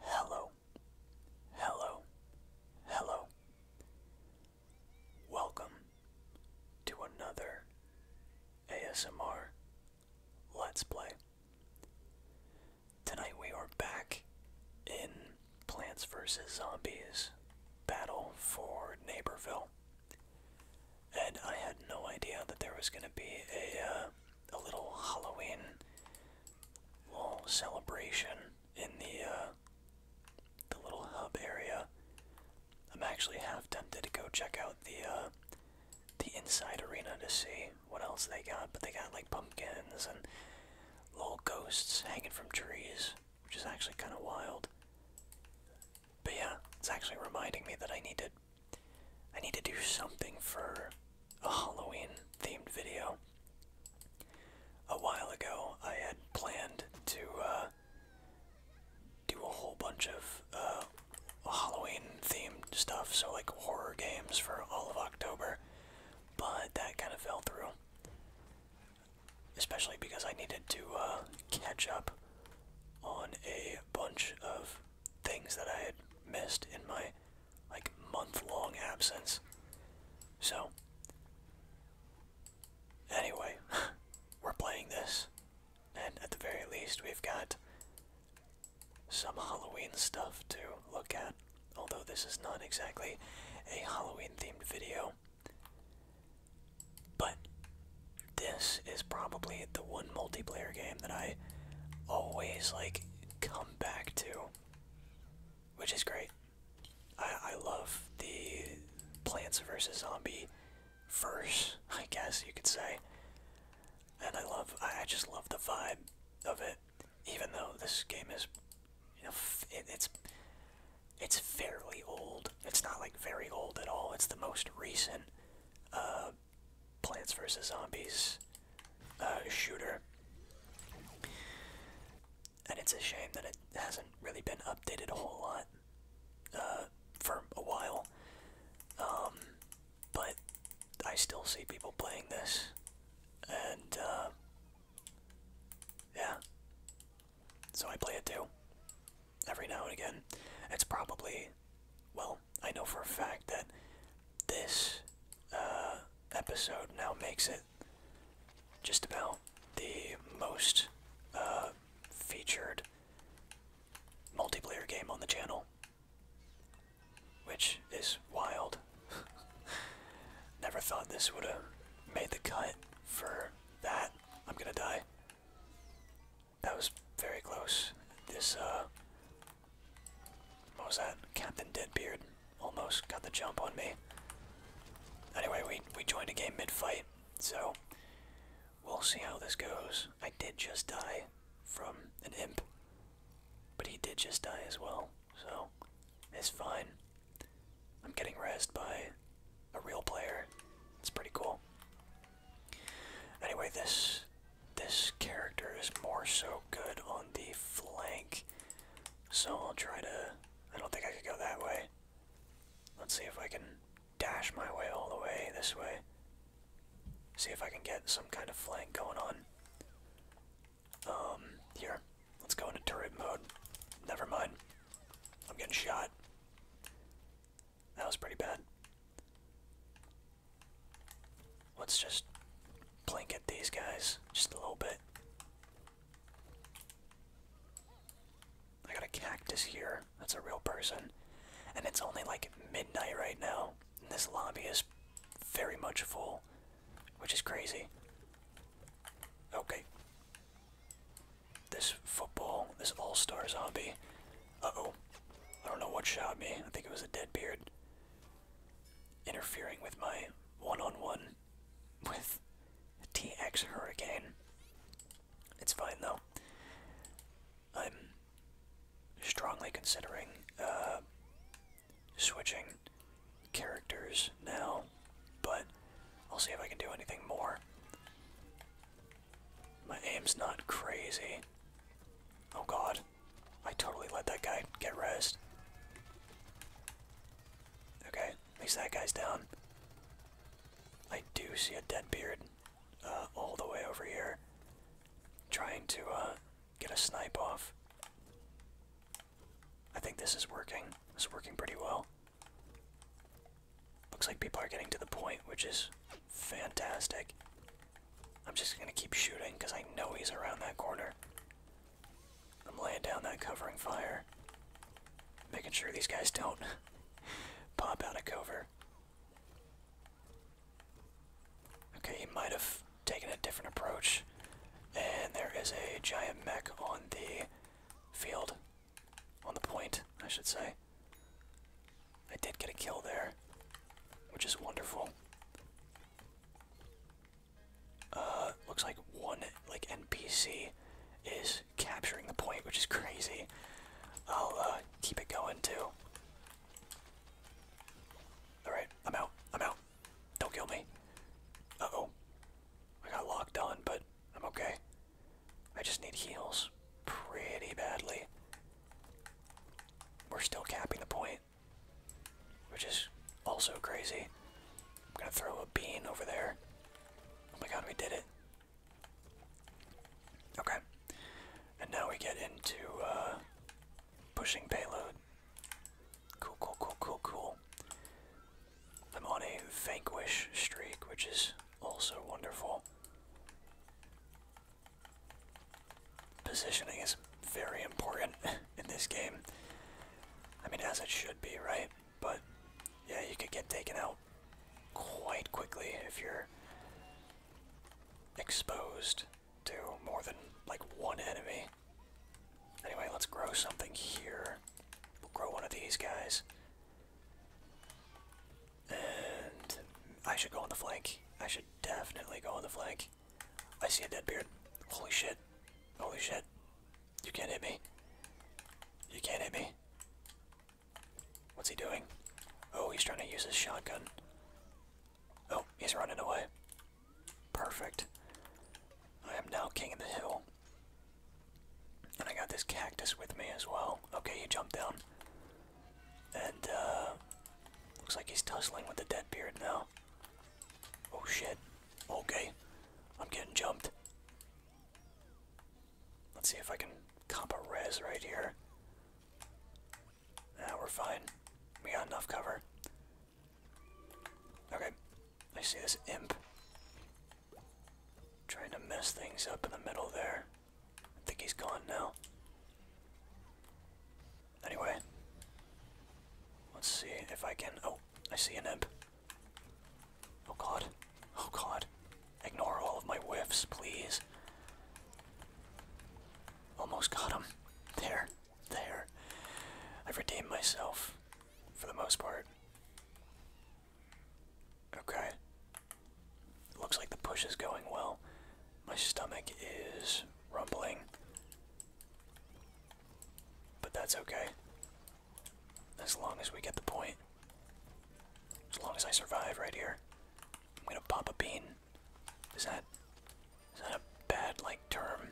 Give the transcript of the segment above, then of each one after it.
Hello, hello, hello. Welcome to another ASMR Let's Play. Tonight we are back in Plants vs. Zombies Battle for Neighborville and I had no idea that there was going to be a uh, a little Halloween little celebration in the uh, the little hub area. I'm actually half tempted to go check out the uh, the inside arena to see what else they got, but they got like pumpkins and little ghosts hanging from trees, which is actually kind of wild. But yeah, it's actually reminding me that I need to I need to do something for a Halloween themed video. A while ago, I had planned to uh, do a whole bunch of uh, Halloween themed stuff, so like horror games for all of October, but that kind of fell through. Especially because I needed to uh, catch up on a bunch of things that I had missed in my like month-long absence. So anyway, we're playing this, and at the very least, we've got some Halloween stuff to look at. Although this is not exactly a Halloween-themed video, but this is probably the one multiplayer game that I always like come back to, which is great. I, love the Plants vs. Zombie verse, I guess you could say. And I love, I just love the vibe of it, even though this game is, you know, it's, it's fairly old. It's not like very old at all. It's the most recent uh, Plants vs. Zombies uh, shooter. And it's a shame that it hasn't really been updated a whole lot uh, for a while. Um, but I still see people playing this. And, uh, yeah. So I play it too. Every now and again. It's probably, well, I know for a fact that this uh, episode now makes it just about the most uh, featured multiplayer game on the channel, which is wild. Never thought this would have made the cut for that. I'm gonna die. That was very close. This, uh. What was that? Captain Deadbeard almost got the jump on me. Anyway, we, we joined a game mid fight, so. We'll see how this goes. I did just die from an imp, but he did just die as well, so. It's fine. I'm getting razzed by a real player. It's pretty cool. Anyway, this this character is more so good on the flank. So I'll try to I don't think I could go that way. Let's see if I can dash my way all the way this way. See if I can get some kind of flank going on. Um, here. Let's go into turret mode. Never mind. I'm getting shot. That was pretty bad. Let's just blink at these guys just a little bit. I got a cactus here. That's a real person. And it's only like midnight right now. And this lobby is very much full, which is crazy. Okay. This football, this all-star zombie uh-oh. I don't know what shot me. I think it was a dead beard. Interfering with my one-on-one with TX Hurricane. It's fine though. I'm strongly considering uh, switching characters now, but I'll see if I can do anything more. My aim's not crazy. Oh god. I totally let that guy get rezzed. Okay, at least that guy's down. I do see a dead beard uh, all the way over here. Trying to uh, get a snipe off. I think this is working. This is working pretty well. Looks like people are getting to the point, which is Fantastic. I'm just gonna keep shooting because I know he's around that corner. I'm laying down that covering fire. Making sure these guys don't pop out of cover. Okay, he might have taken a different approach. And there is a giant mech on the field. On the point, I should say. I did get a kill there, which is wonderful. Uh, looks like one like NPC is capturing the point, which is crazy. I'll uh, keep it going too. All right, I'm out. I'm out. Don't kill me. Uh oh, I got locked on, but I'm okay. I just need heals pretty badly. We're still capping the point, which is also crazy. I'm gonna throw a bean over there. Oh my god, we did it. Okay. And now we get into uh, pushing payload. Cool, cool, cool, cool, cool. I'm on a vanquish streak, which is also wonderful. Positioning is very important in this game. I mean, as it should be, right? But yeah, you could get taken out quite quickly if you're exposed to more than like one enemy. Anyway, let's grow something here. We'll grow one of these guys. And I should go on the flank. I should definitely go on the flank. I see a dead beard. Holy shit. Holy shit. You can't hit me. You can't hit me. What's he doing? Oh, he's trying to use his shotgun. Oh, he's running away. Perfect. I am now king of the hill. And I got this cactus with me as well. Okay, he jumped down. And, uh, looks like he's tussling with the dead beard now. Oh shit. Okay. I'm getting jumped. Let's see if I can comp a rez right here. Now we're fine. We got enough cover. Okay. I see this imp. Trying to mess things up in the middle there. I think he's gone now. Anyway, let's see if I can. Oh, I see an imp. Oh god. Oh god. Ignore all of my whiffs, please. Almost got him. There. There. I've redeemed myself for the most part. Okay. Looks like the push is going well. My stomach is rumbling. But that's okay. As long as we get the point. As long as I survive right here. I'm gonna pop a bean. Is that is that a bad like term?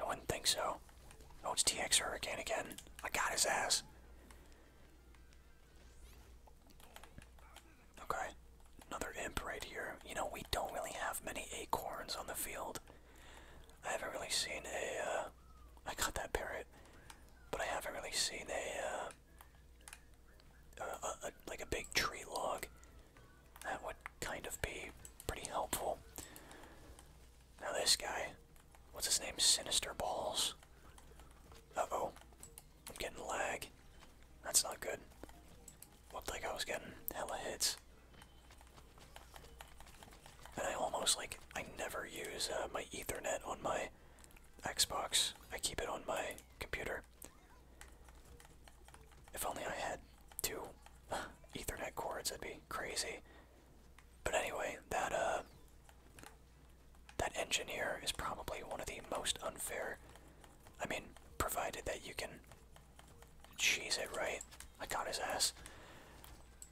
I wouldn't think so. Oh, it's TX Hurricane again. I got his ass. Okay, another imp right here. You know, we don't really have many acorns on the field. I haven't really seen a. Uh, I uh, got that parrot, but I haven't really seen uh, a, like a big tree log. That would kind of be pretty helpful. Now this guy, what's his name? Sinister Balls. oh. I'm getting lag. That's not good. Looked like I was getting hella hits. And I almost, like, I never use uh, my Ethernet on my Xbox. I keep it on my computer. If only I had two Ethernet cords, that'd be crazy. But anyway, that, uh, that engineer is probably one of the most unfair I mean, provided that you can cheese it right. I caught his ass.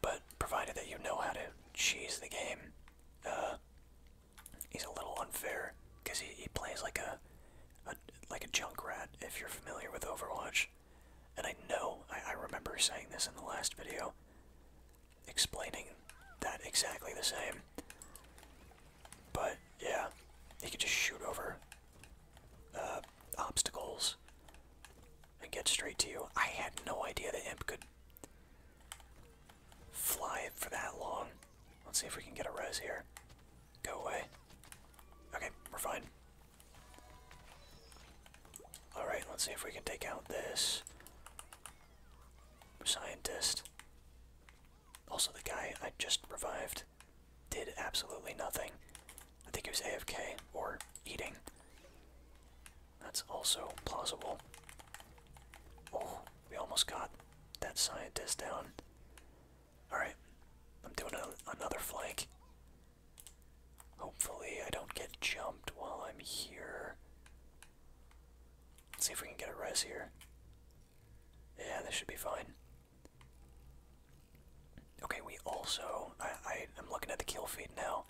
But provided that you know how to cheese the game, uh, he's a little unfair because he, he plays like a, a like a junk rat. If you're familiar with Overwatch, and I know I, I remember saying this in the last video, explaining that exactly the same. But yeah, he could just shoot over uh, obstacles and get straight to you. I had no idea the imp could fly for that long. Let's see if we can get a res here. Go away. Okay, we're fine. Alright, let's see if we can take out this scientist. Also, the guy I just revived did absolutely nothing. I think he was AFK or eating. That's also plausible. Oh, we almost got that scientist down. Alright, I'm doing another flank. Hopefully, I don't get jumped while I'm here. Let's see if we can get a res here. Yeah, this should be fine. Okay, we also, I, I, am looking at the kill feed now,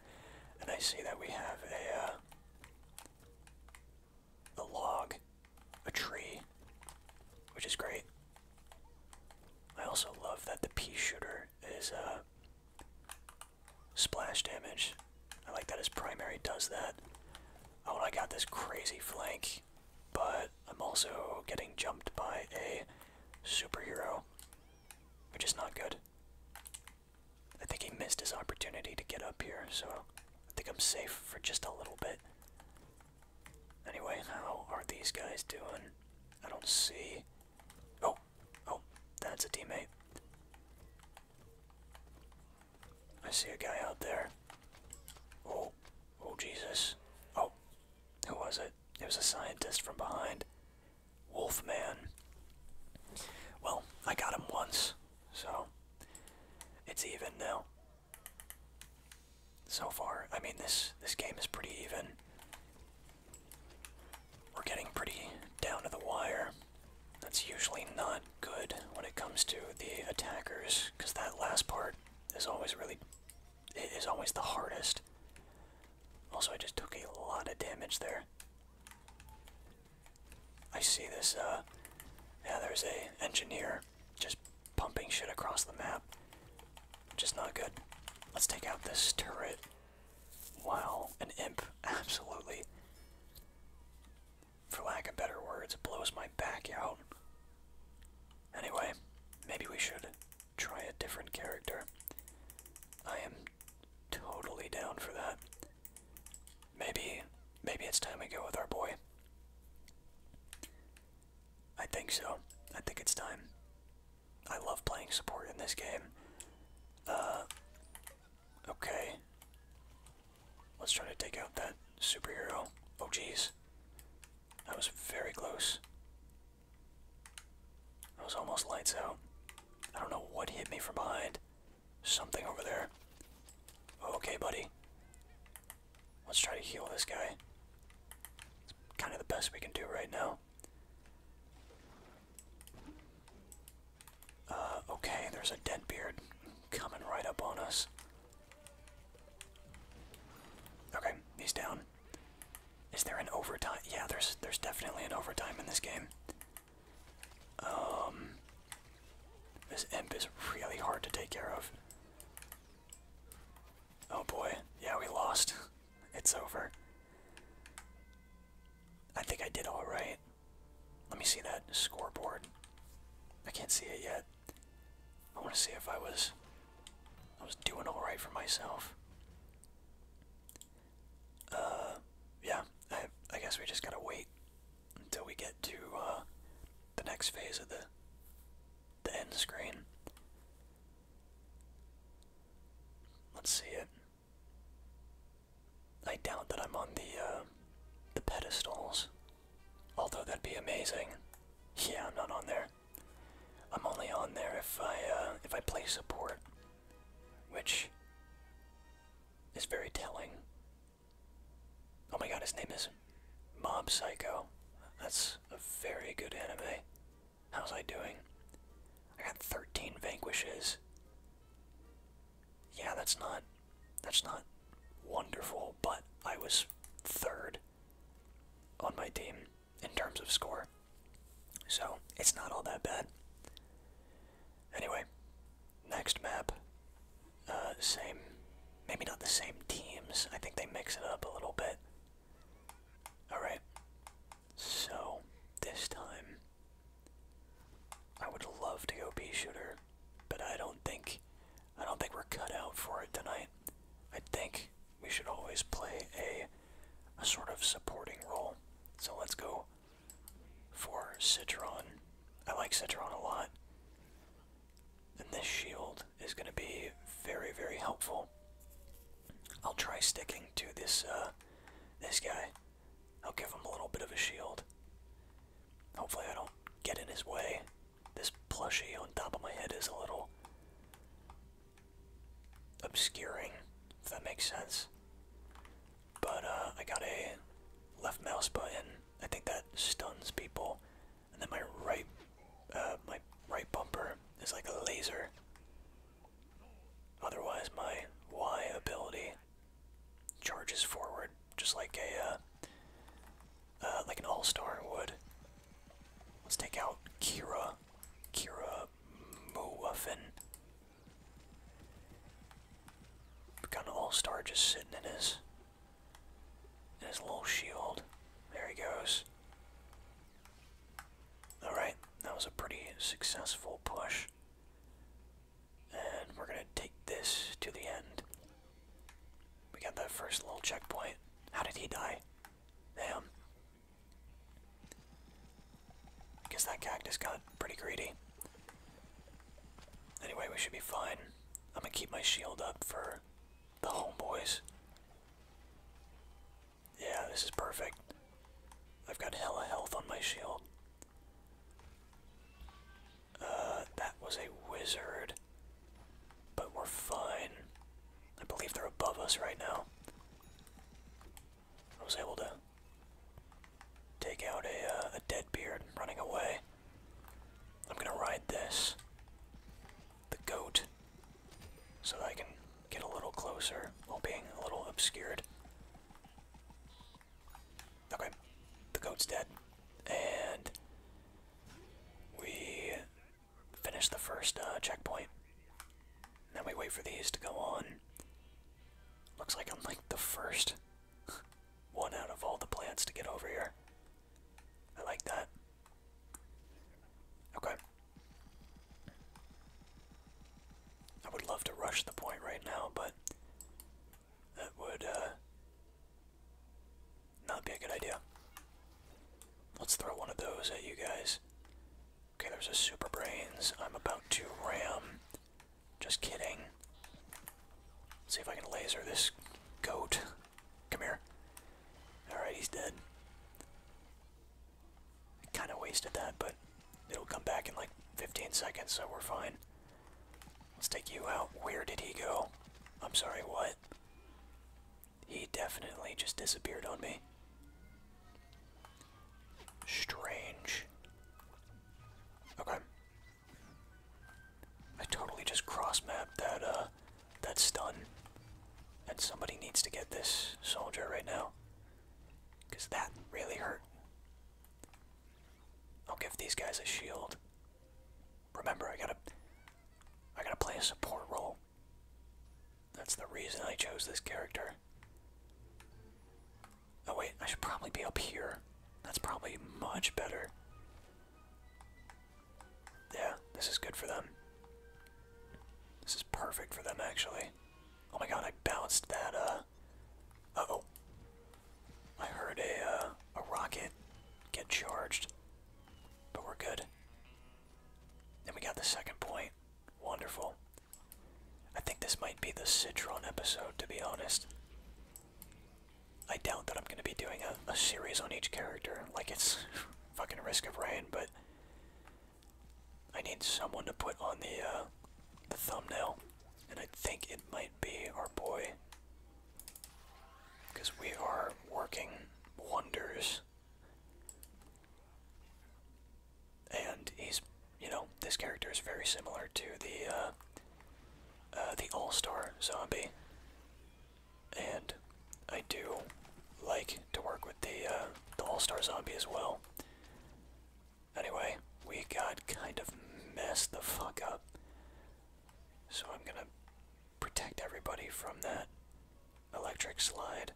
and I see that we have a, uh, a log, a tree, which is great. I also love that the pea shooter is, a uh, splash damage. I like that his primary does that. Oh, and I got this crazy flank, but I'm also getting jumped by a superhero, which is not good. I think he missed his opportunity to get up here, so I think I'm safe for just a little bit. Anyway, how are these guys doing? I don't see. Oh, oh, that's a teammate. I see a guy out there. Oh, oh Jesus. Oh, who was it? It was a scientist from behind. Wolfman. Well, I got him once, so it's even now. So far, I mean this this game is pretty even. We're getting pretty down to the wire. That's usually not good when it comes to the attackers, because that last part is always really it is always the hardest. Also, I just took a lot of damage there. I see this, uh, yeah, there's a engineer just pumping shit across the map. Just not good. Let's take out this turret. Wow, an imp, absolutely for lack of better words, it blows my back out. Anyway, maybe we should try a different character. I am totally down for that. Maybe, maybe it's time we go with our boy. I think so. I think it's time. I love playing support in this game. Uh, okay. Let's try to take out that superhero. Oh, jeez. That was very close. That was almost lights out. I don't know what hit me from behind. Something over there. Okay, buddy. Let's try to heal this guy. It's kind of the best we can do right now. Uh, okay, there's a dead beard coming right up on us. Okay, he's down. Is there an overtime? Yeah, there's there's definitely an overtime in this game. Um, this imp is really hard to take care of. Oh boy, yeah, we lost. It's over. I think I did all right. Let me see that scoreboard. I can't see it yet. I want to see if I was I was doing all right for myself. Uh, yeah, I I guess we just gotta wait until we get to uh, the next phase of the the end screen. Let's see it. I doubt that I'm on the uh, the pedestals Although that'd be amazing. Yeah, I'm not on there. I'm only on there if I uh, if I play support, which is very telling. Oh my god, his name is Mob Psycho. That's a very good anime. How's I doing? I got 13 vanquishes yeah, that's not that's not wonderful, but I was third on my team in terms of score. So it's not all that bad. Anyway, next map. Uh, same, maybe not the same teams. I think they mix it up a little bit. Alright, so this time I would love to go pea shooter but I don't think I don't think we're cut out for it tonight. I think we should always play a a sort of supporting role. So let's go for Citron. I like Citron a lot. And this shield is going to be very, very helpful. I'll try sticking to this uh, this guy. I'll give him a little bit of a shield. Hopefully I don't get in his way. This plushie on top of my head is a little obscuring, if that makes sense. But uh, I got a left mouse button. I think that stuns people. And then my right, uh, my right bumper is like a laser. Otherwise, my Y ability charges forward, just like a uh, uh, like an all-star would. Let's take out Kira, Kira Muffin. We got an all-star just sitting in his in his little shield. There he goes. All right, that was a pretty successful push. And we're gonna take this to the end. We got that first little checkpoint. How did he die? Damn. Guess that cactus got pretty greedy. Anyway, we should be fine. I'm gonna keep my shield up for the homeboys. Yeah, this is perfect. I've got hella health on my shield. Uh, that was a wizard. But we're fine. I believe they're above us right now. I was able to take out a, uh, a dead beard running away. I'm gonna ride this, the goat, so I can get a little closer while being a little obscured. Okay, the goat's dead. And we finish the first uh, checkpoint. Then we wait for these to go on. Looks like I'm like the first one out of all the plants to get over here. I like that. Okay. I would love to rush the point right now, but that would uh, not be a good idea. Let's throw one of those at you guys. Okay, there's a Super Brains. I'm about to ram. Just kidding. see if I can laser this goat. Come here. Alright, he's dead. Kind of wasted that, but it'll come back in like 15 seconds, so we're fine. Let's take you out. Where did he go? I'm sorry, what? He definitely just disappeared on me. Strange. Okay. I totally just cross-mapped that, uh, that stun. And somebody needs to get this soldier right now. Because that really hurt. I'll give these guys a shield. Remember, I gotta, I gotta play a support role. That's the reason I chose this character. Oh wait, I should probably be up here. That's probably much better. Yeah, this is good for them. This is perfect for them, actually. Oh my god, I bounced that, uh, uh oh. I heard a uh, a rocket get charged, but we're good. Then we got the second point. Wonderful. I think this might be the Citron episode, to be honest. I doubt that I'm going to be doing a, a series on each character, like it's fucking Risk of Rain, but I need someone to put on the, uh, the thumbnail, and I think it might be our boy because we are working wonders. And he's, you know, this character is very similar to the, uh, uh, the All-Star Zombie. And I do like to work with the, uh, the All-Star Zombie as well. Anyway, we got kind of messed the fuck up. So I'm gonna protect everybody from that electric slide.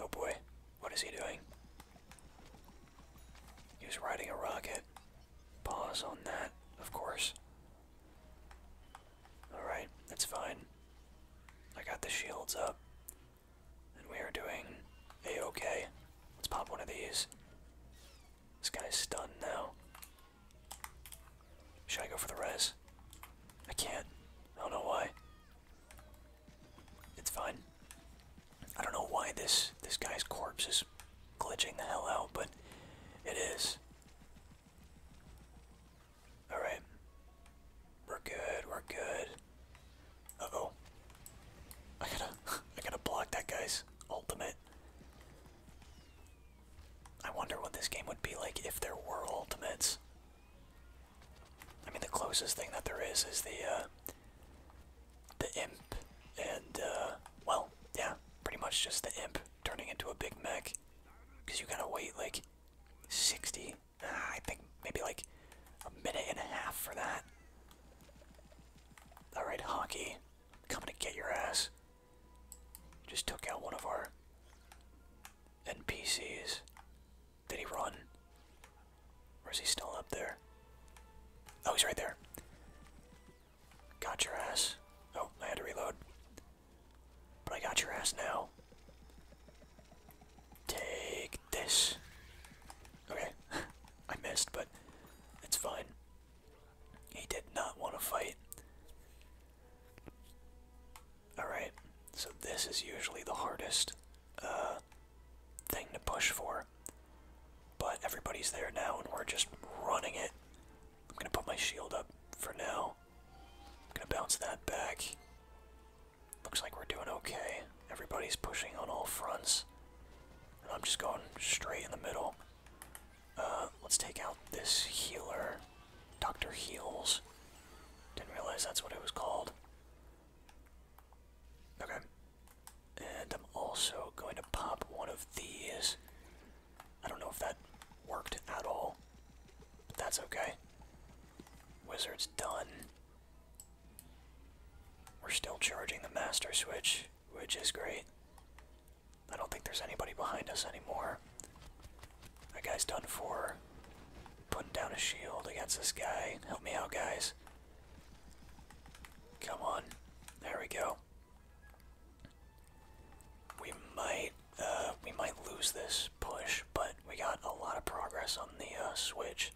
Oh boy, what is he doing? He's riding a rocket. Pause on that, of course. Alright, that's fine. I got the shields up. And we are doing a okay. Let's pop one of these. This guy's stunned now. Should I go for the rez? I can't. I don't know why. It's fine. I don't know why this this guy's corpse is glitching the hell out, but it is. Alright. We're good, we're good. oh I gotta I gotta block that guy's ultimate. I wonder what this game would be like if there were ultimates. I mean, the closest thing that there is is the uh, the imp, and uh, well, yeah, pretty much just the imp turning into a big mech, because you gotta wait like 60, ah, I think maybe like a minute and a half for that. All right, hockey. I'm Coming to get your ass. Just took out one of our NPCs. Did he run? Or is he still up there? Oh, he's right there. Got your ass. Oh, I had to reload. But I got your ass now. Take this. Okay. I missed, but it's fine. He did not want to fight. Alright, so this is usually the hardest uh, thing to push for. But everybody's there now and we're just running it. I'm going to put my shield up for now. I'm going to bounce that back. Looks like we're doing okay. Everybody's pushing on all fronts. I'm just going straight in the middle. Uh, let's take out this healer, Dr. Heals. Didn't realize that's what it was called. Okay. And I'm also going to pop one of these. I don't know if that worked at all. But that's okay. Wizard's done. We're still charging the master switch which is great. I don't think there's anybody behind us anymore. That guy's done for. Putting down a shield against this guy. Help me out, guys. Come on. There we go. We might, uh, we might lose this push, but we got a lot of progress on the uh, switch.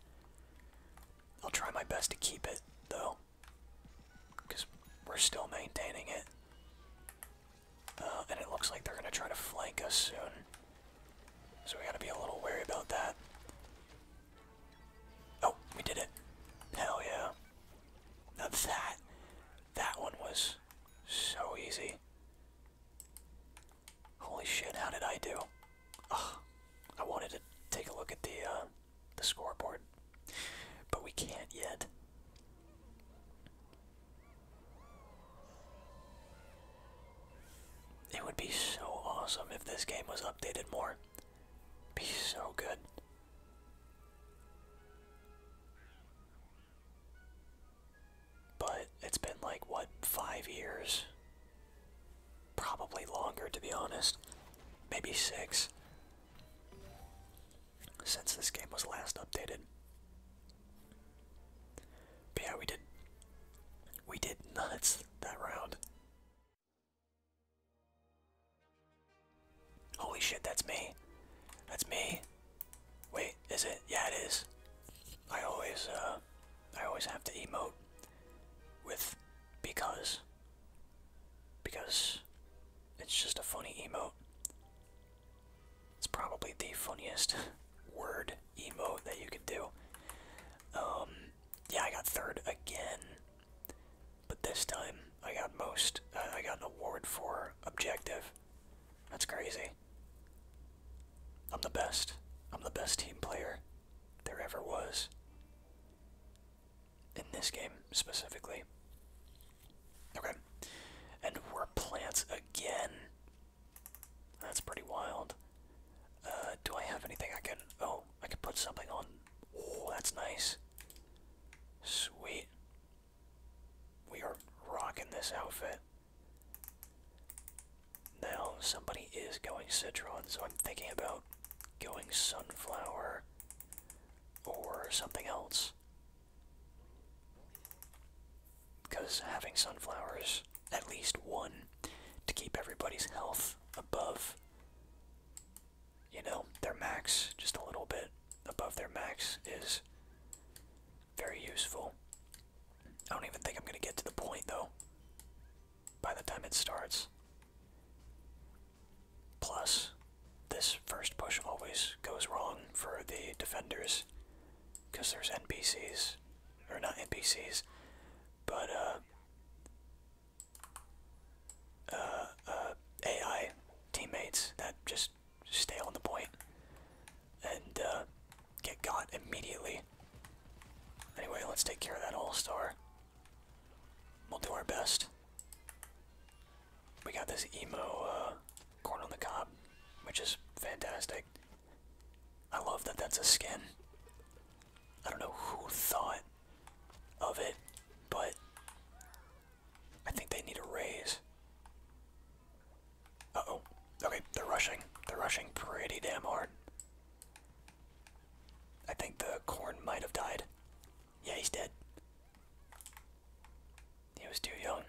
I'll try my best to keep it, though. Because we're still maintaining it. Uh, and it looks like they're going to try to flank us soon. So we got to be a little wary about that. Oh, we did it. Hell yeah. Now that, that one was so easy. Holy shit, how did I do? I wanted to take a look at the, uh, the scoreboard. But we can't yet. It would be so awesome if this game was updated more. Be so good. But it's been like, what, five years? Probably longer, to be honest. Maybe six since this game was last updated. yeah, we did. We did nuts that round. Holy shit, that's me. That's me. Wait, is it? Yeah, it is. I always, uh, I always have to emote with because because it's just a funny emote. It's probably the funniest word emote that you could do. Um, yeah, I got third again, but this time I got most. I got an award for objective. That's crazy. I'm the best. I'm the best team player there ever was in this game specifically. Okay. And we're plants again. That's pretty wild. Uh, do I have anything I can. Oh, I can put something on. Oh, that's nice. Sweet. We are rocking this outfit. Now, somebody is going Citron, so I'm thinking about going Sunflower or something else. Because having sunflowers, at least one, to keep everybody's health above, you know, their max, just a little bit above their max, is very useful. I don't even think I'm going to get to the point, though, by the time it starts. Plus, this first push always goes wrong for the defenders because there's NPCs, or not NPCs, but uh, uh, uh, AI teammates that just stay on the point and get caught immediately. Anyway, let's take care of that all star. We'll do our best. We got this emo uh, corn on the cob, which is fantastic. I love that that's a skin. I don't know who thought of it, but I think they need a raise. Uh oh. Okay, they're rushing. They're rushing pretty damn hard. I think the corn might have died. Yeah, he's dead. He was too young.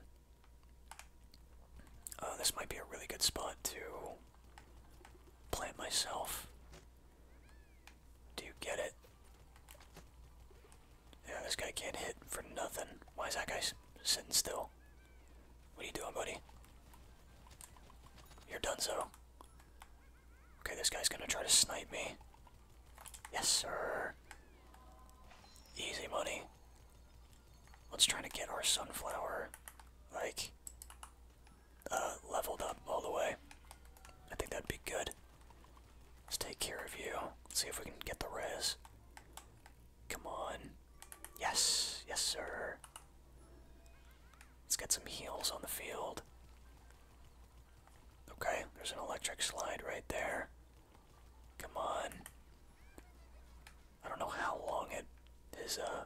Uh, this might be a really good spot to plant myself. Do you get it? Yeah, this guy can't hit for nothing. Why is that guy sitting still? What are you doing, buddy? You're done so. Okay, this guy's gonna try to snipe me. Yes, sir. Easy money. Let's try to get our sunflower, like, uh, leveled up all the way. I think that'd be good. Let's take care of you. Let's see if we can get the res. Come on. Yes, yes, sir. Let's get some heals on the field. Okay, there's an electric slide right there. Come on. I don't know how long it his uh,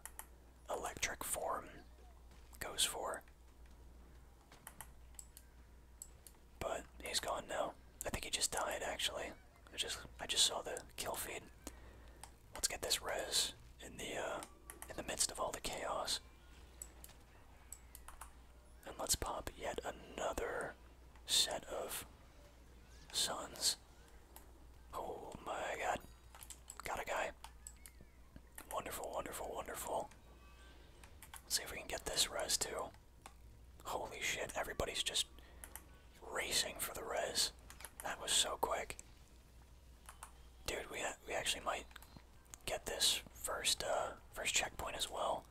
electric form goes for. But he's gone now. I think he just died actually. I just I just saw the kill feed. Let's get this res in the uh, in the midst of all the chaos. And let's pop yet another set of suns. Oh my god. Got a guy. Wonderful, wonderful, wonderful. see if we can get this rez too. Holy shit, everybody's just racing for the rez. That was so quick. Dude, we, we actually might get this first uh, first checkpoint as well.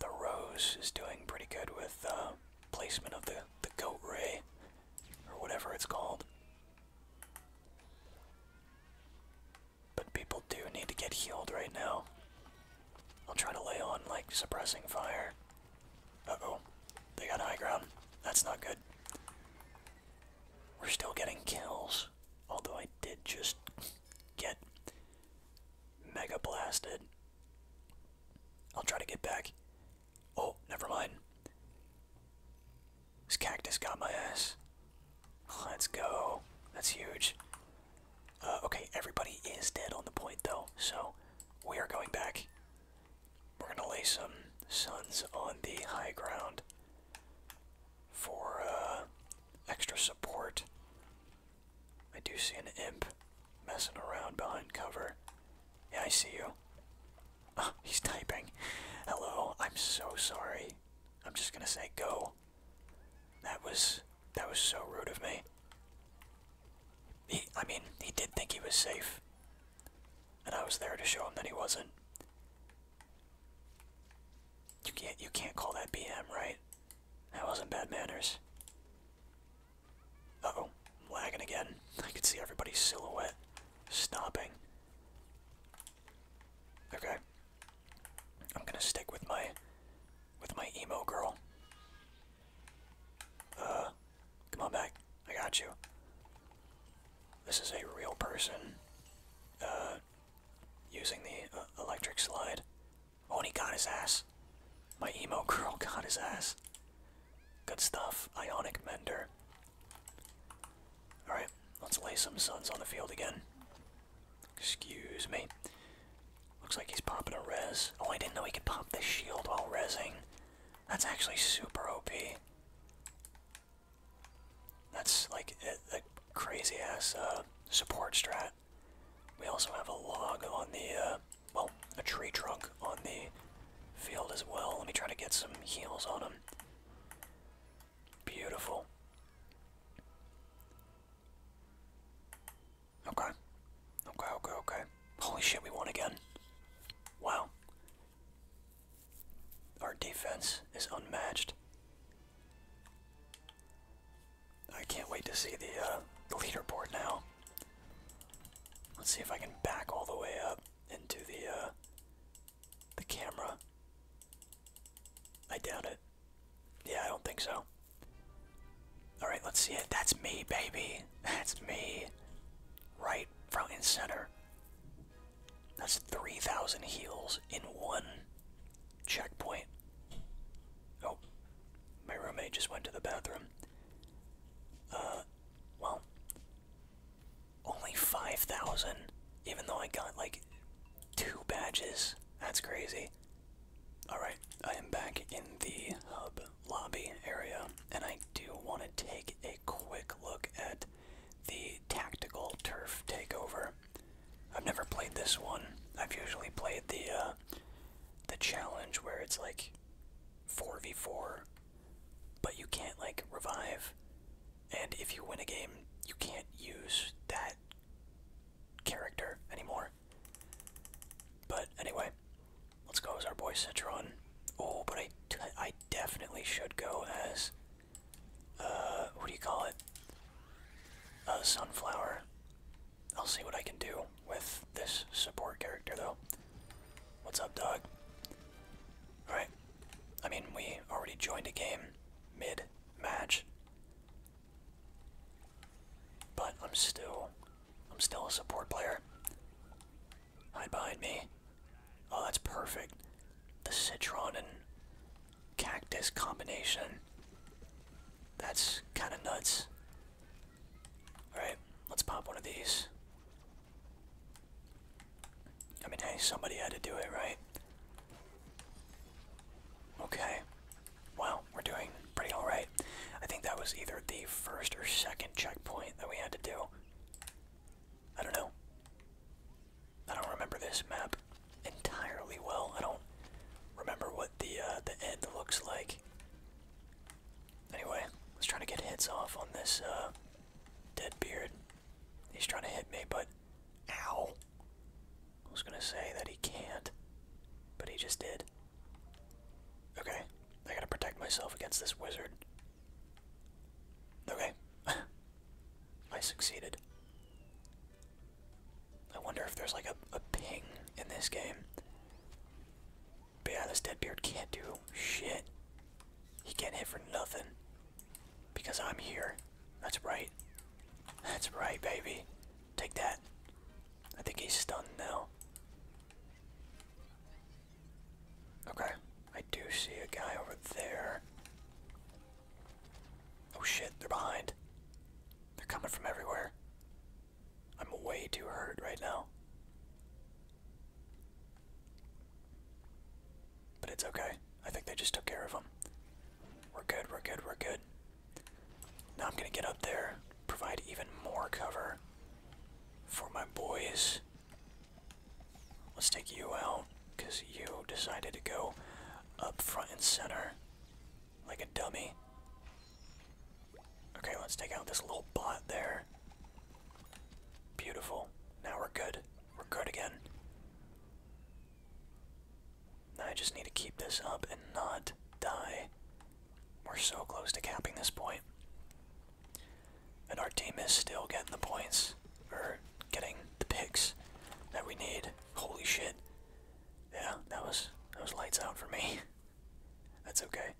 The rose is doing pretty good with uh, placement of the the goat ray or whatever it's called. But people do need to get healed right now. I'll try to lay on like suppressing fire. oh, they got high ground. That's not good. We're still getting kills. Although I did just get mega blasted. I'll try to get back. Oh, never mind. This cactus got my ass. Let's go. That's huge. Uh, okay, everybody is dead on the point though, so we are going back. We're gonna lay some sons on the high ground for uh, extra support. I do see an imp messing around behind cover. Yeah, I see you. Ah, he's typing. Hello, I'm so sorry. I'm just gonna say go. That was that was so rude of me. He, I mean, he did think he was safe. And I was there to show him that he wasn't. You can't you can't call that BM, right? That wasn't bad manners. oh lagging again. I could see everybody's silhouette stopping. Okay. I'm gonna stick with my with my emo girl. Uh come on back. I got you. This is a real person uh, using the uh, electric slide. Oh, and he got his ass. My emo girl got his ass. Good stuff. Ionic Mender. Alright, let's lay some suns on the field again. Excuse me. Looks like he's popping a rez. Oh, I didn't know he could pop this shield while rezing. That's actually super OP. That's like a, crazy ass uh, support strat. We also have a log on the, uh, well, a tree trunk on the field as well. Let me try to get some heals on him. Beautiful. Okay. Okay, okay, okay. Holy shit, we won again. Wow. Our defense is unmatched. I can't wait to see uh, the, leaderboard now. Let's see if I can back all the way up into the uh, the camera. I doubt it. Yeah, I don't think so. All right, let's see it. That's me, baby. That's me. Right front and center. That's 3,000 heals in one checkpoint. Oh, my roommate just went to the bathroom. Uh, well, only 5,000, even though I got like two badges. That's crazy. Alright, I am back in the hub lobby area, and I do want to take a quick look at the tactical turf takeover. I've never played this one. I've usually played the uh, the challenge where it's like 4v4, but you can't like revive, and if you win a game, you can't use that character anymore. But anyway, let's go as our boy Citron. Oh, but I, I definitely should go as uh, what do you call it? A sunflower. I'll see what I can do with this support character, though. What's up, Doug? Alright. I mean, we already joined a game mid-match. But I'm still... I'm still a support player. Hide behind me. Oh, that's perfect. The citron and cactus combination. That's kind of nuts. Alright, let's pop one of these. I mean, hey, somebody had to do it, right? Okay. Well, we're doing pretty alright. I think that was either the first or second checkpoint that we had to do. I don't know. I don't remember this map entirely well. I don't remember what the uh, the end looks like. Anyway, let's try to get hits off on this uh, dead beard. He's trying to hit me, but ow! I was gonna say that he can't, but he just did. Okay, I gotta protect myself against this wizard. Okay, I succeeded. I wonder if there's like a, ping in this game. But yeah, this Deadbeard can't do shit. He can't hit for nothing. Because I'm here. That's right. That's right, baby. Take that. I think he's stunned now. Okay, I do see a guy over there. Oh shit, they're behind. They're coming from everywhere. I'm way too hurt right now. But it's okay. I think they just took care of them. We're good, we're good, we're good. Now I'm gonna get up there, provide even more cover for my boys. Let's take you out because you decided to go up front and center like a dummy. Okay, let's take out this little bot there. Beautiful. Now we're good. We're good again. Now I just need to keep this up and not die. We're so close to capping this And our team is still getting the points. Or getting the picks that we need. Holy shit. Yeah, that was that was lights out for me. That's okay.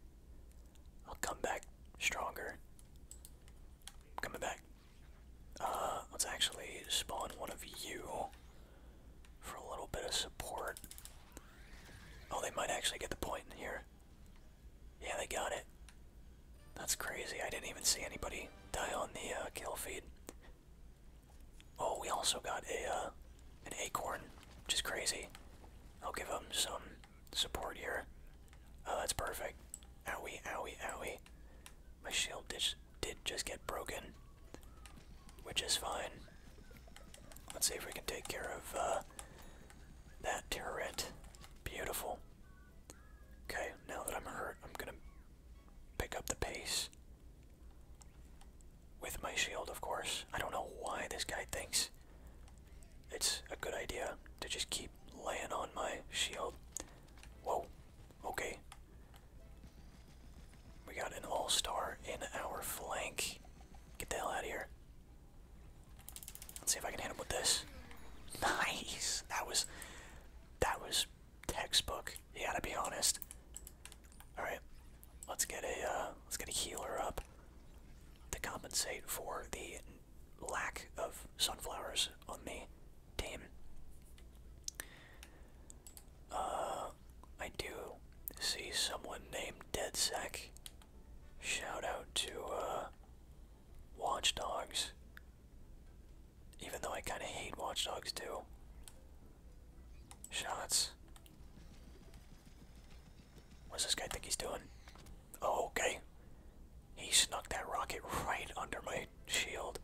I'll come back stronger. Coming back. Uh, let's actually spawn one of you for a little bit of support. Oh, they might actually get the point in here. Yeah, they got it. That's crazy. I didn't even see anybody die on the uh, kill feed. Oh, we also got a uh, an acorn, which is crazy. I'll give them some support here. Oh, that's perfect. Owie, owie, owie. My shield did, did just get broken, which is fine. Let's see if we can take care of uh, that turret. Beautiful. Okay, now that I'm hurt, I'm gonna pick up the pace. With my shield, of course. I don't know why this guy thinks it's a good idea to just keep laying on my shield. Whoa, okay. We got an all star in our flank. Get the hell out of here. Let's see if I can hit him with this. Nice! That was that was textbook. You gotta be honest. All right, let's get a uh, let's get a healer up to compensate for the lack of sunflowers on the team. Uh, I do see someone named DeadSec. Shout out to uh, Watch Dogs. Even though I kind of hate Watchdogs too. Shots. What's this guy think he's doing? Oh, okay. He snuck that rocket right under my shield.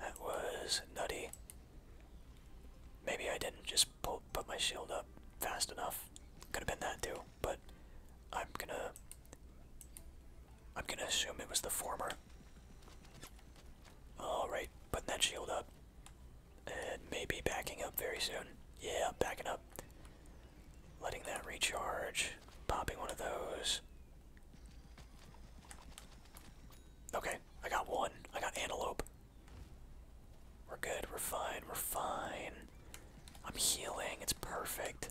That was nutty. Maybe I didn't just pull, put my shield up fast enough. Could have been that too, but I'm gonna I'm gonna assume it was the former. Alright, putting that shield up. And maybe backing up very soon. Yeah, backing up. Letting that recharge. Popping one of those. Okay, I got one. I got antelope. We're good, we're fine, we're fine. I'm healing, it's perfect.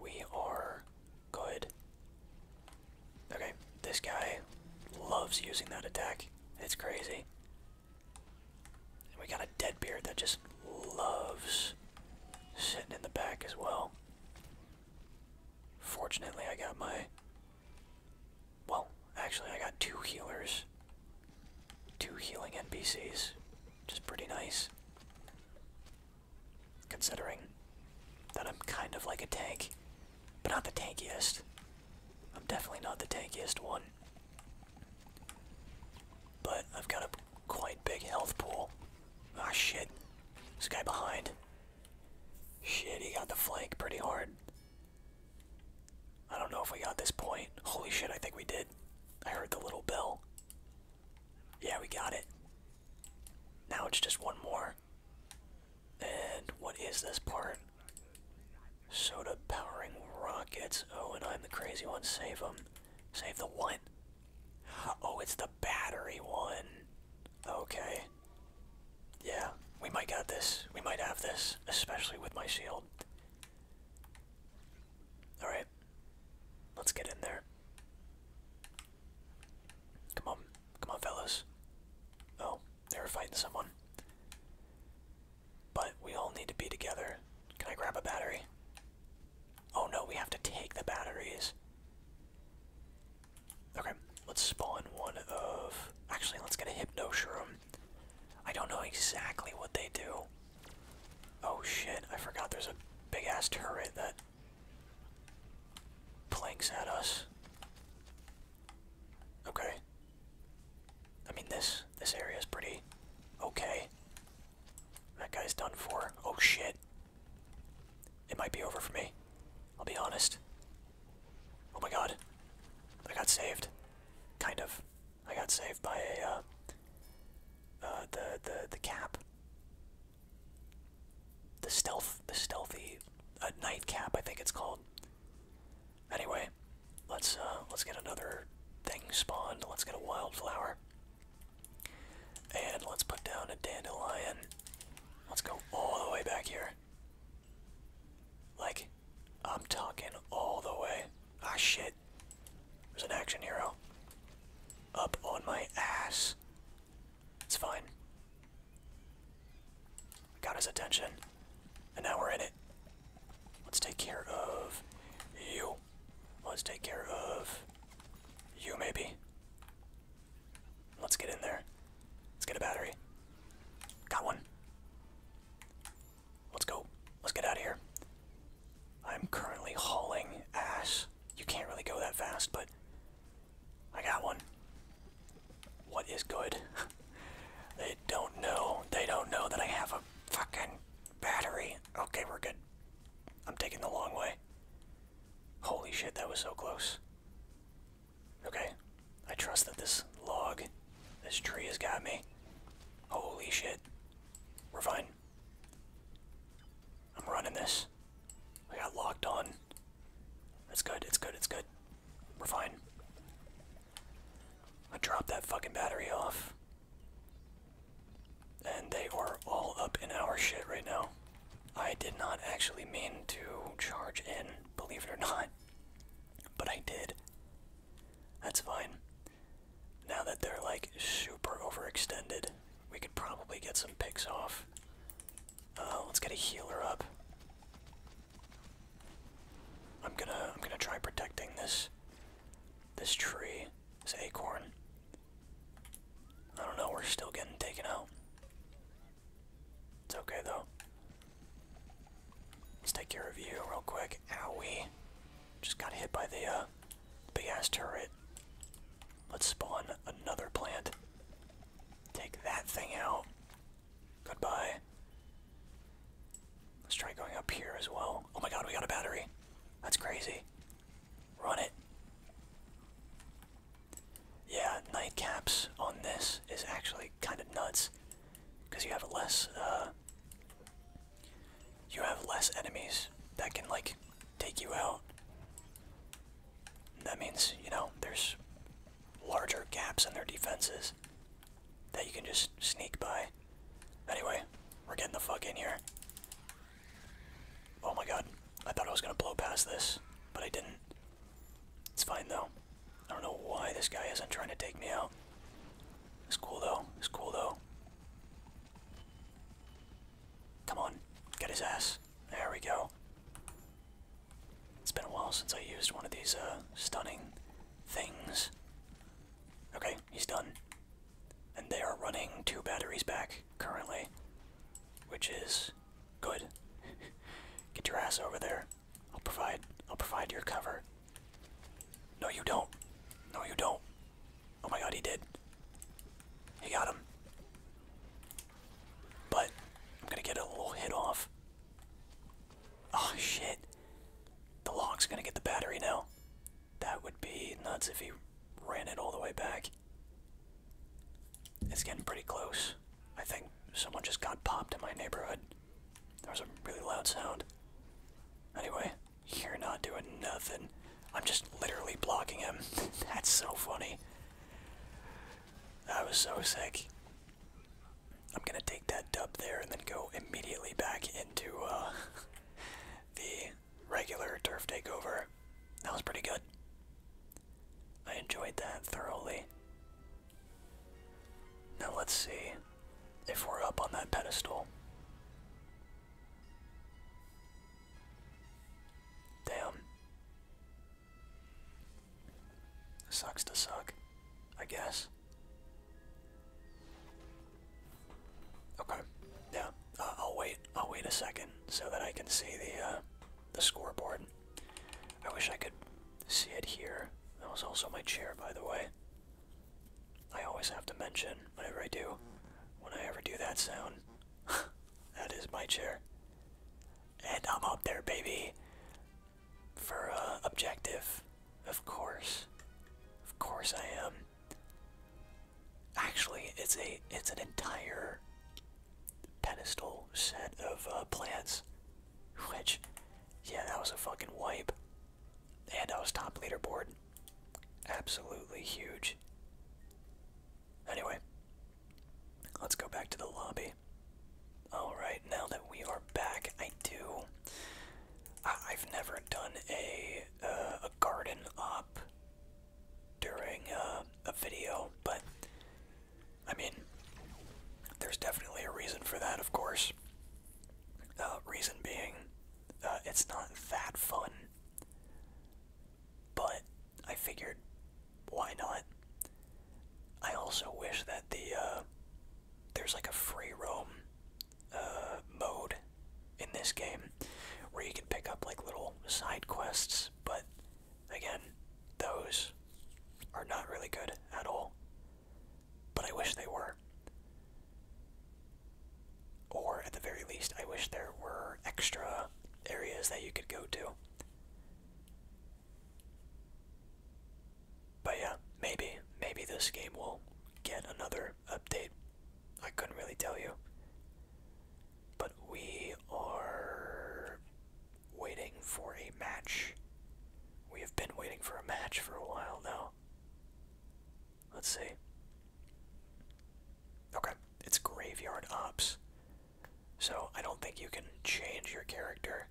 We are good. Okay, this guy loves using that attack. It's crazy. we got a dead Deadbeard that just loves sitting in the back as well. Fortunately, I got my. Well, actually, I got two healers. Two healing NPCs. Which is pretty nice. Considering that I'm kind of like a tank, but not the tankiest. I'm definitely not the tankiest one. But I've got a quite big health pool. Ah, shit. This guy behind. Shit, he got the flank pretty hard. I don't know if we got this point. Holy shit, I think we did. I heard the little bell. Yeah, we got it. Now it's just one more. And what is this part? Soda powering rockets. Oh, and I'm the crazy one. Save them. Save the one. Oh, it's the battery one. Okay. Yeah, we might got this. We might have this, especially with my shield. Alright. Let's get in there. Come on. Come on, fellas. Oh, they were fighting someone. But we all need to be together. Can I grab a battery? Oh no, we have to take the batteries. Okay, let's spawn one of. Actually, let's get a hypno shroom. I don't know exactly what they do. Oh shit, I forgot there's a big ass turret that planks at us. Okay. I mean this this area is pretty okay. That guy's done for. Oh shit. It might be over for me. I'll be honest. Oh my god. I got saved. Kind of. I got saved by a uh uh the the the cap the stealth the stealthy uh, nightcap I think it's called. Anyway, let's uh, let's get another thing spawned. Let's get a wildflower. And let's put down a dandelion. Let's go all the way back here. Like, I'm talking all the way. Ah, shit. There's an action hero up on my ass. It's fine. Got his attention. And now we're in it. Let's take care of you. Let's take care of you, maybe. Let's get in there. Let's get a battery. Got one. Let's go. Let's get out of here. I'm currently hauling ass. You can't really go that fast, but I got one. What is good? they don't know. They don't know that I have a fucking battery. Okay, we're good. I'm taking the long way. Holy shit, that was so close. Okay, I trust that this log, this tree has got me. Holy shit. We're fine. I'm running this. Nice. I got locked on. It's good, it's good, it's good. We're fine. I dropped that fucking battery off. And they are all up in our shit right now. I did not actually mean to charge in, believe it or not. But I did. That's fine. Now that they're like super overextended, we could probably get some picks off. Uh, let's get a healer up. I'm gonna I'm gonna try protecting this this tree, this acorn. I don't know, we're still getting taken out. It's okay though. Let's take care of you real quick. Owie. Just got hit by the uh Big ass turret. Let's spawn another plant. Take that thing out. Goodbye. Let's try going up here as well. Oh my god, we got a battery. That's crazy. Run it. Yeah, nightcaps on this is actually kind of nuts. Because you have less, uh, You have less enemies that can, like, take you out. That means, you know, there's larger gaps in their defenses that you can just sneak by. Anyway, we're getting the fuck in here. Oh my god, I thought I was gonna blow past this, but I didn't. It's fine though. I don't know why this guy isn't trying to take me out. It's cool though, it's cool though. Come on, get his ass. There we go. It's been a while since I used one of these uh, stunning things. Okay, he's done. And they are running two batteries back currently, which is good. Get your ass over there. I'll provide. I'll provide your cover. No, you don't. No, you don't. Oh my god, he did. He got him. But I'm gonna get a little hit off. Oh shit. The lock's gonna get the battery now. That would be nuts if he ran it all the way back. It's getting pretty close. I think someone just got popped in my neighborhood. There was a really loud sound. Anyway, you're not doing nothing. I'm just literally blocking him. That's so funny. That was so sick. I'm gonna take that dub there and then go immediately back into uh, the regular turf takeover. That was pretty good. I enjoyed that thoroughly. Now let's see if we're up on that pedestal. Damn. Sucks to suck, I guess. Okay, yeah. Uh, I'll wait. I'll wait a second so that I can see the uh, the scoreboard. I wish I could see it here. That was also my chair, by the way. I always have to mention whenever I do, when I ever do that sound, that is my chair. And I'm out there, baby. For uh, objective. Of course. Of course I am. Actually, it's a it's an entire pedestal set of uh, plants. Which, yeah, that was a fucking wipe. And I was top leaderboard. Absolutely huge. Anyway, let's go back to the lobby. Alright, now that we are back, I do. I have never done a, uh, a garden up during uh, a video, but I mean, there's definitely a reason for that, of course. Uh, reason being, uh, it's not that fun. But I figured, why not? I also wish that the uh, there's like a free roam uh, mode in this game where you can pick up like little side quests, but again, those are not really good at all. But I wish they were. Or at the very least, I wish there were extra areas that you could go to. But yeah, maybe, maybe this game will get another update. I couldn't really tell you. But we are waiting for a match. We have been waiting for a match for a while now. Let's see. Okay, it's Graveyard Ops. So I don't think you can change your character.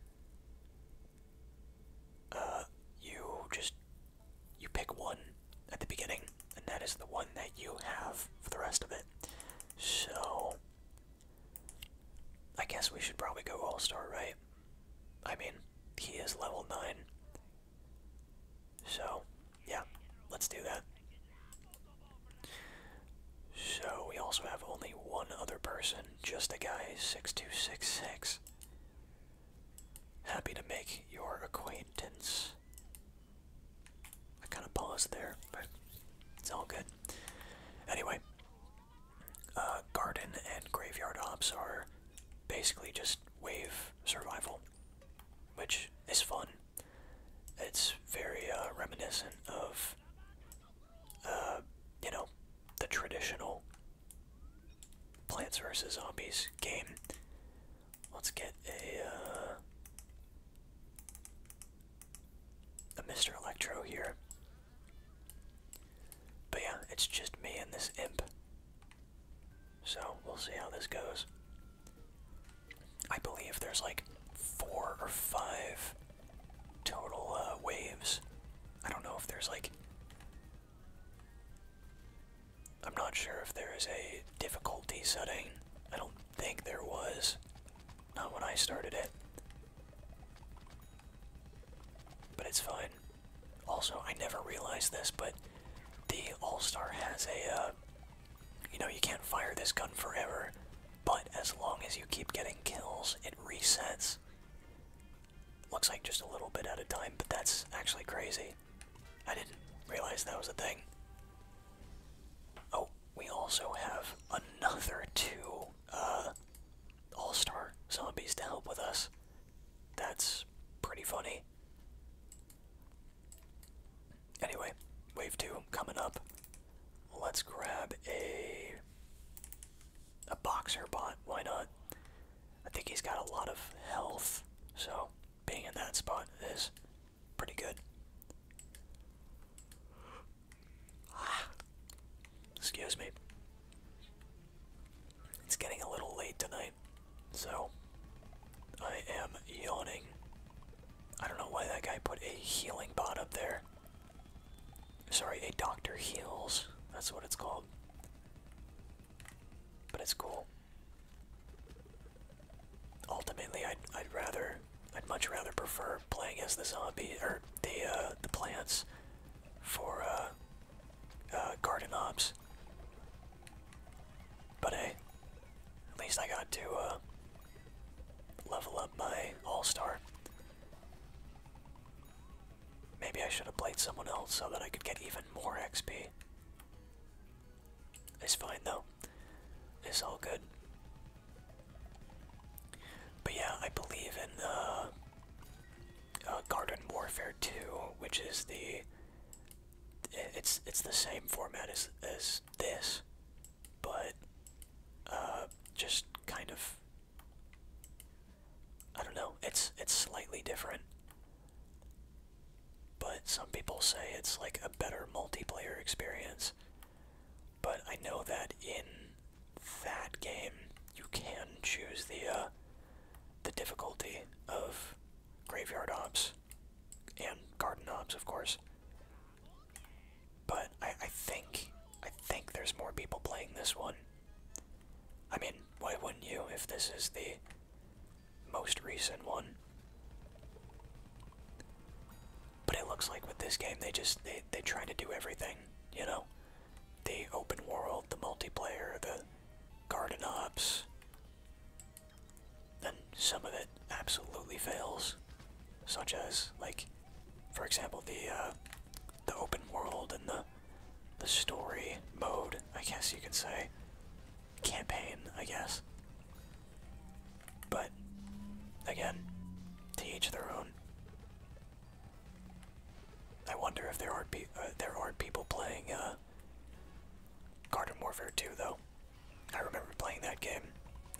Uh, you just you pick one at the beginning, and that is the one that you have for the rest of it. So I guess we should probably go All Star, right? I mean, he is level nine. So, yeah, let's do that. So, we also have only one other person, just a guy 6266. Happy to make your acquaintance. I kind of paused there, but it's all good. Anyway, uh, garden and graveyard ops are basically just wave survival, which is fun. It's very uh, reminiscent of, uh, you know, the traditional Plants vs. Zombies game. Let's get a uh, Mr. Electro here. But yeah, it's just me and this imp. So we'll see how this goes. I believe there's like four or five total uh, waves. I don't know if there's like. I'm not sure if there is a difficulty setting. I don't think there was. Not when I started it. But it's fine. Also, I never realized this, but the All Star has a uh, you know, you can't fire this gun forever, but as long as you keep getting kills, it resets. Looks like just a little bit at a time, but that's actually crazy. I didn't realize that was a thing. Oh, we also have another two uh, all star zombies to help with us. That's pretty funny. Anyway, wave two coming up. Let's grab a a boxer bot. Why not? I think he's got a lot of health, so being in that spot is pretty good. Ah, excuse me. It's getting a little late tonight so I am yawning. I don't know why that guy put a healing bot up there. Sorry, a doctor heals. That's what it's called. But it's cool. Ultimately, I'd I'd rather I'd much rather prefer playing as the zombie or the uh, the plants for uh, uh, garden ops but hey, at least I got to uh, level up my All Star. Maybe I should have played someone else so that I could get even more XP. It's fine though. It's all good. But yeah, I believe in uh, uh Garden Warfare 2, which is the it's it's the same format as as this, but uh, just kind of I don't know. It's it's slightly different, but some people say it's like a better multiplayer experience. But I know that in that game you can choose the uh, the difficulty of Graveyard Ops and garden ops, of course. But I, I think I think there's more people playing this one. I mean, why wouldn't you if this is the most recent one? But it looks like with this game they just they they try to do everything, you know? The open world, the multiplayer, the garden ops, then some of it absolutely fails, such as like, for example, the uh, the open world and the the story mode. I guess you could say campaign. I guess, but again, to each their own. I wonder if there are not uh, there are people playing uh, Garden Warfare 2 though. I remember playing that game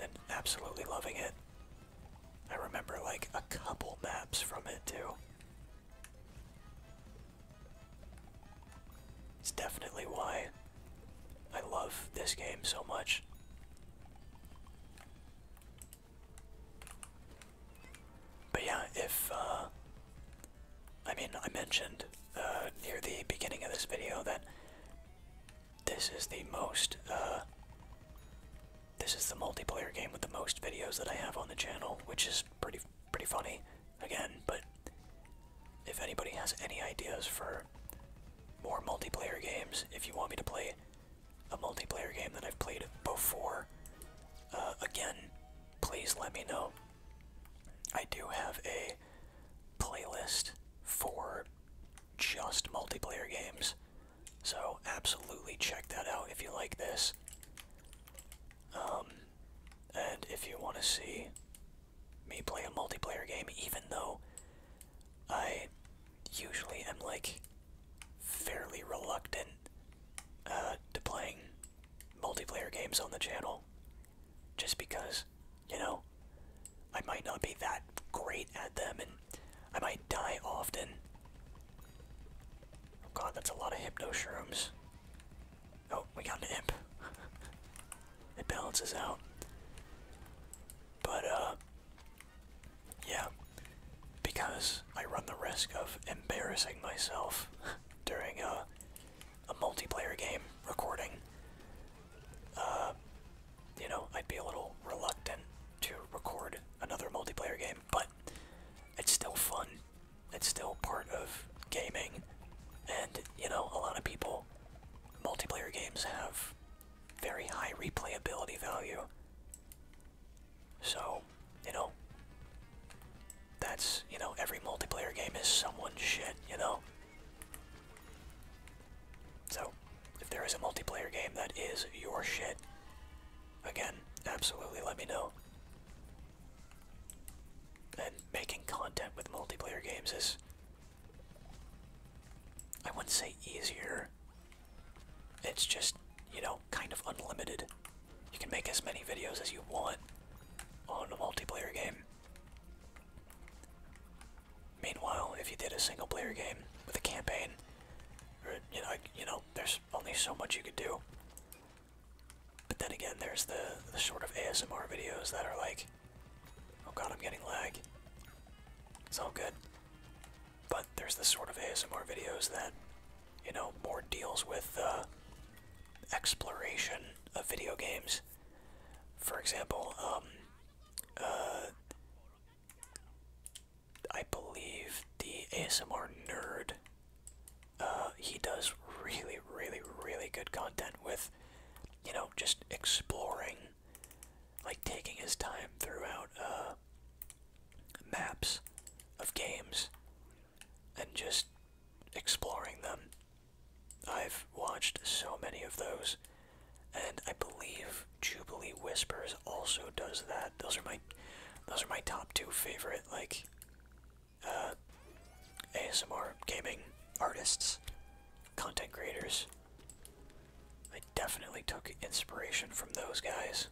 and absolutely loving it. I remember like a couple maps from it too. It's definitely why I love this game so much. But yeah, if uh, I mean, I mentioned uh, near the beginning of this video that this is the most, uh, this is the multiplayer game with the most videos that I have on the channel, which is pretty, pretty funny, again, but if anybody has any ideas for more multiplayer games, if you want me to play a multiplayer game that I've played before, uh, again, please let me know. I do have a playlist for just multiplayer games, so absolutely check that out if you like this. Um, and if you want to see me play a multiplayer game, even though I usually am like fairly reluctant uh, to playing multiplayer games on the channel just because, you know, I might not be that great at them and I might die often. Oh god, that's a lot of hypno shrooms. Oh, we got an imp. it balances out. But, uh, yeah, because I run the risk of embarrassing myself during, a. Uh, a multiplayer game recording, uh, you know, I'd be a little reluctant to record another multiplayer game, but it's still fun. It's still part of gaming, and, you know, a lot of people, multiplayer games have very high replayability value. So, you know, that's, you know, every multiplayer game is someone's shit, you know? So, if there is a multiplayer game that is your shit, again, absolutely let me know. And making content with multiplayer games is, I wouldn't say easier. It's just, you know, kind of unlimited. You can make as many videos as you want on a multiplayer game. Meanwhile, if you did a single player game with a campaign, you know, you know, there's only so much you could do. But then again, there's the the sort of ASMR videos that are like, oh god, I'm getting lag. It's all good. But there's the sort of ASMR videos that, you know, more deals with uh, exploration of video games for example, um, uh, I believe the ASMR nerd, uh, he does really, really, really good content with, you know, just exploring, like taking his time throughout, uh, maps of games and just exploring them I've watched so many of those, and I believe Jubilee Whispers also does that. Those are my, those are my top two favorite like, uh, ASMR gaming artists, content creators. I definitely took inspiration from those guys,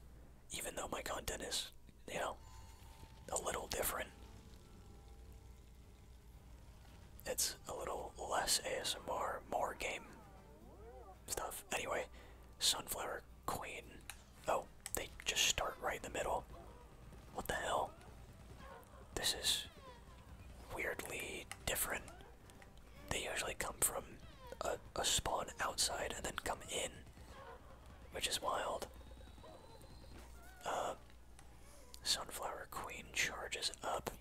even though my content is, you know, a little different it's a little less ASMR, more game stuff. Anyway, Sunflower Queen. Oh, they just start right in the middle. What the hell? This is weirdly different. They usually come from a, spawn outside and then come in, which is wild. Uh, Sunflower Queen charges up.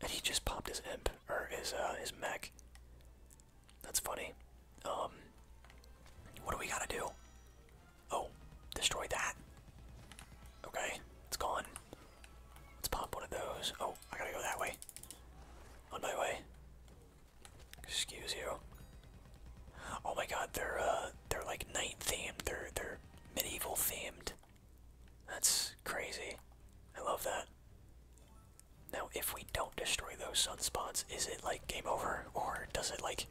And he just popped his imp, or his, uh, his mech. That's funny. Um, what do we gotta do? Oh, destroy that. Okay, it's gone. Let's pop one of those. Oh, I gotta go that way. On my way. Excuse you. Oh my god, they're, uh, they're like night themed. They're, they're medieval themed. That's crazy. I love that. Now, if we don't destroy those sunspots, is it like game over, or does it like,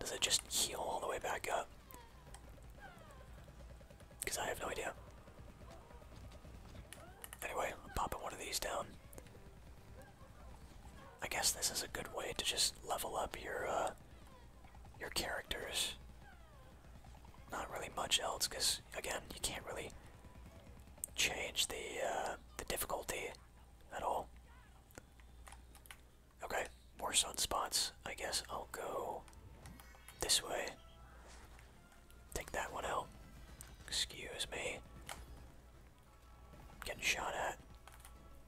does it just heal all the way back up? Because I have no idea. Anyway, I'm popping one of these down. I guess this is a good way to just level up your uh, your characters. Not really much else, because again, you can't really change the uh, the difficulty at all. Okay, more sunspots. I guess I'll go this way. Take that one out. Excuse me. Getting shot at.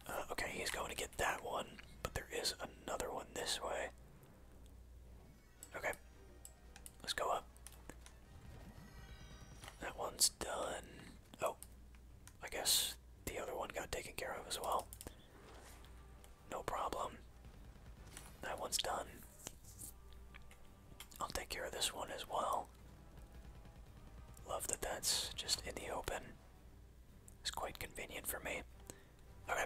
Uh, okay, he's going to get that one, but there is another one this way. Okay, let's go up. That one's done. Oh, I guess the other one got taken care of as well. No problem. That one's done. I'll take care of this one as well. Love that that's just in the open. It's quite convenient for me. Okay.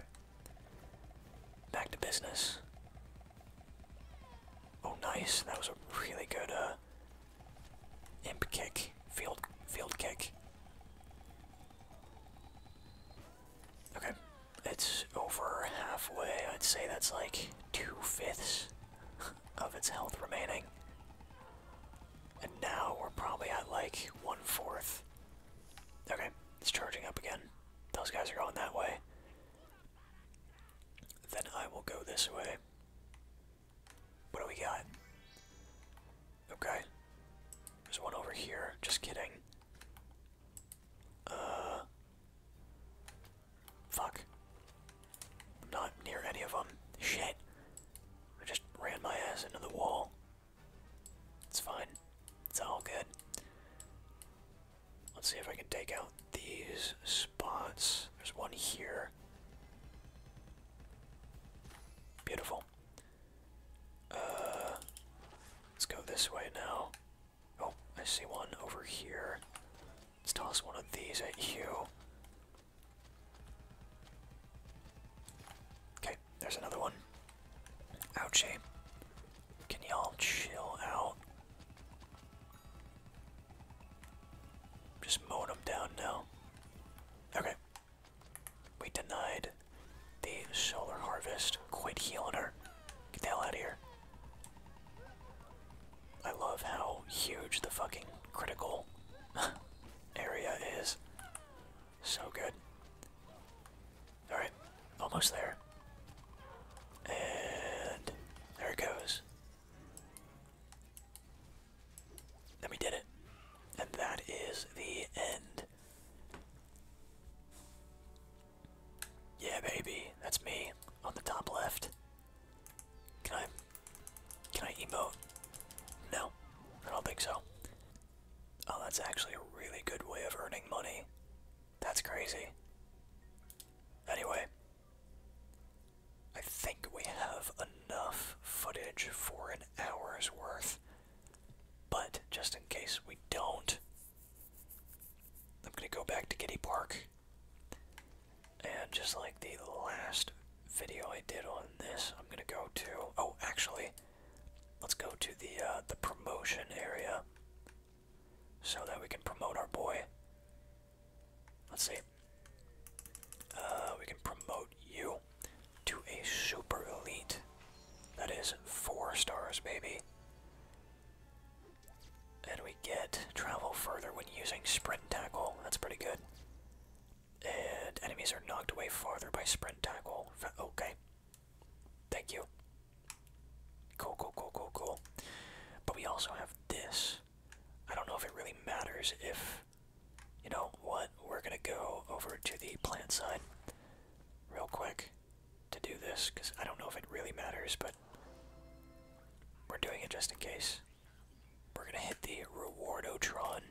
Back to business. Oh, nice. That was a really good uh, imp kick, field field kick. Okay, it's over halfway. I'd say that's like two fifths of its health remaining. And now we're probably at like one fourth. Okay, it's charging up again. Those guys are going that way. Then I will go this way. What do we got? Okay. There's one over here. Just kidding. Uh. Fuck. not near any of them. Shit. I just ran my ass into the wall. It's fine. It's all good. Let's see if I can take out these spots. There's one here. Beautiful. Uh, let's go this way now. Oh, I see one over here. Let's toss one of these at you. Okay, there's another one. Ouchie. Can y'all chill out? Just mowing them down now. Okay. We denied the solar harvest. Quit healing her. Get the hell out of here. I love how huge the fucking critical area is. So good. Alright, almost there. And there it goes. And we did it. And that is the end. Yeah, baby. That's me on the top left. Can I can I emote? No, I don't think so. Oh, that's actually a really good way of earning money. That's crazy. Anyway, I think we have enough footage for an hour's worth. But just in case we don't, I'm gonna go back to Giddy Park. And just like the last video I did on this. I'm gonna go to oh, actually, let's go to the uh, the promotion area so that we can promote our boy. Let's see. Uh, we can promote you to a super elite. That is four stars, baby. And we get travel further when using sprint tackle. That's pretty good. And enemies are knocked away farther by sprint tackle. Okay. Thank you. Cool, cool, cool, cool, cool. But we also have this. I don't know if it really matters if, you know what, we're gonna go over to the plant side real quick to do this, because I don't know if it really matters, but we're doing it just in case. We're gonna hit the reward Otron.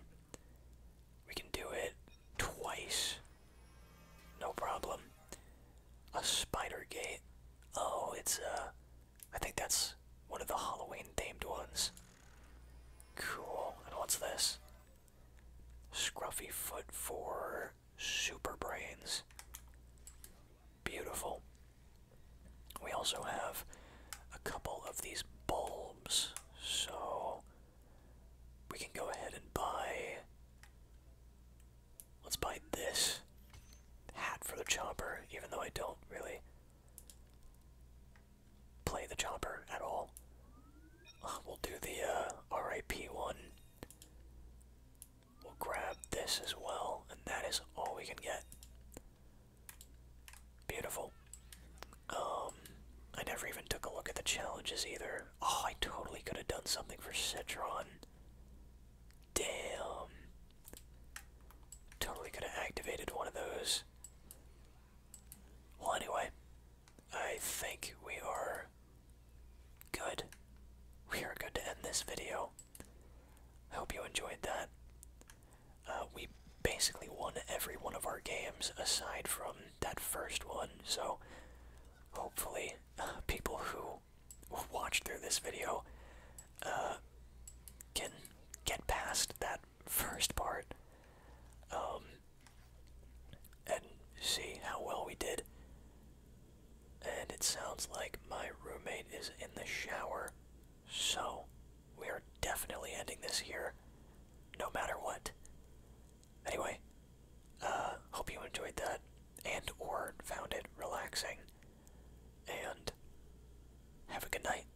We can do it twice. No problem. A spider gate. Oh, it's uh I think that's one of the Halloween themed ones. Cool. And what's this? Scruffy foot for super brains. Beautiful. We also have a couple of these bull so we can go ahead and buy. Let's buy this hat for the chopper, even though I don't really play the chopper at all. Uh, we'll do the uh, RIP one. We'll grab this as well, and that is all we can get. Beautiful. Um, I never even took a look at the challenges either. Oh, I totally could have done something for Citron. Damn. Totally could have activated one of those. Well, anyway, I think we are good. We are good to end this video. I hope you enjoyed that. Uh, we basically won every one of our games aside from that first one, so hopefully uh, people who watch through this video uh, can get past that first part um, and see how well we did. And it sounds like my roommate is in the shower, so we are definitely ending this here, no matter what. Anyway, uh, hope you enjoyed that and or found it relaxing. And have a good night.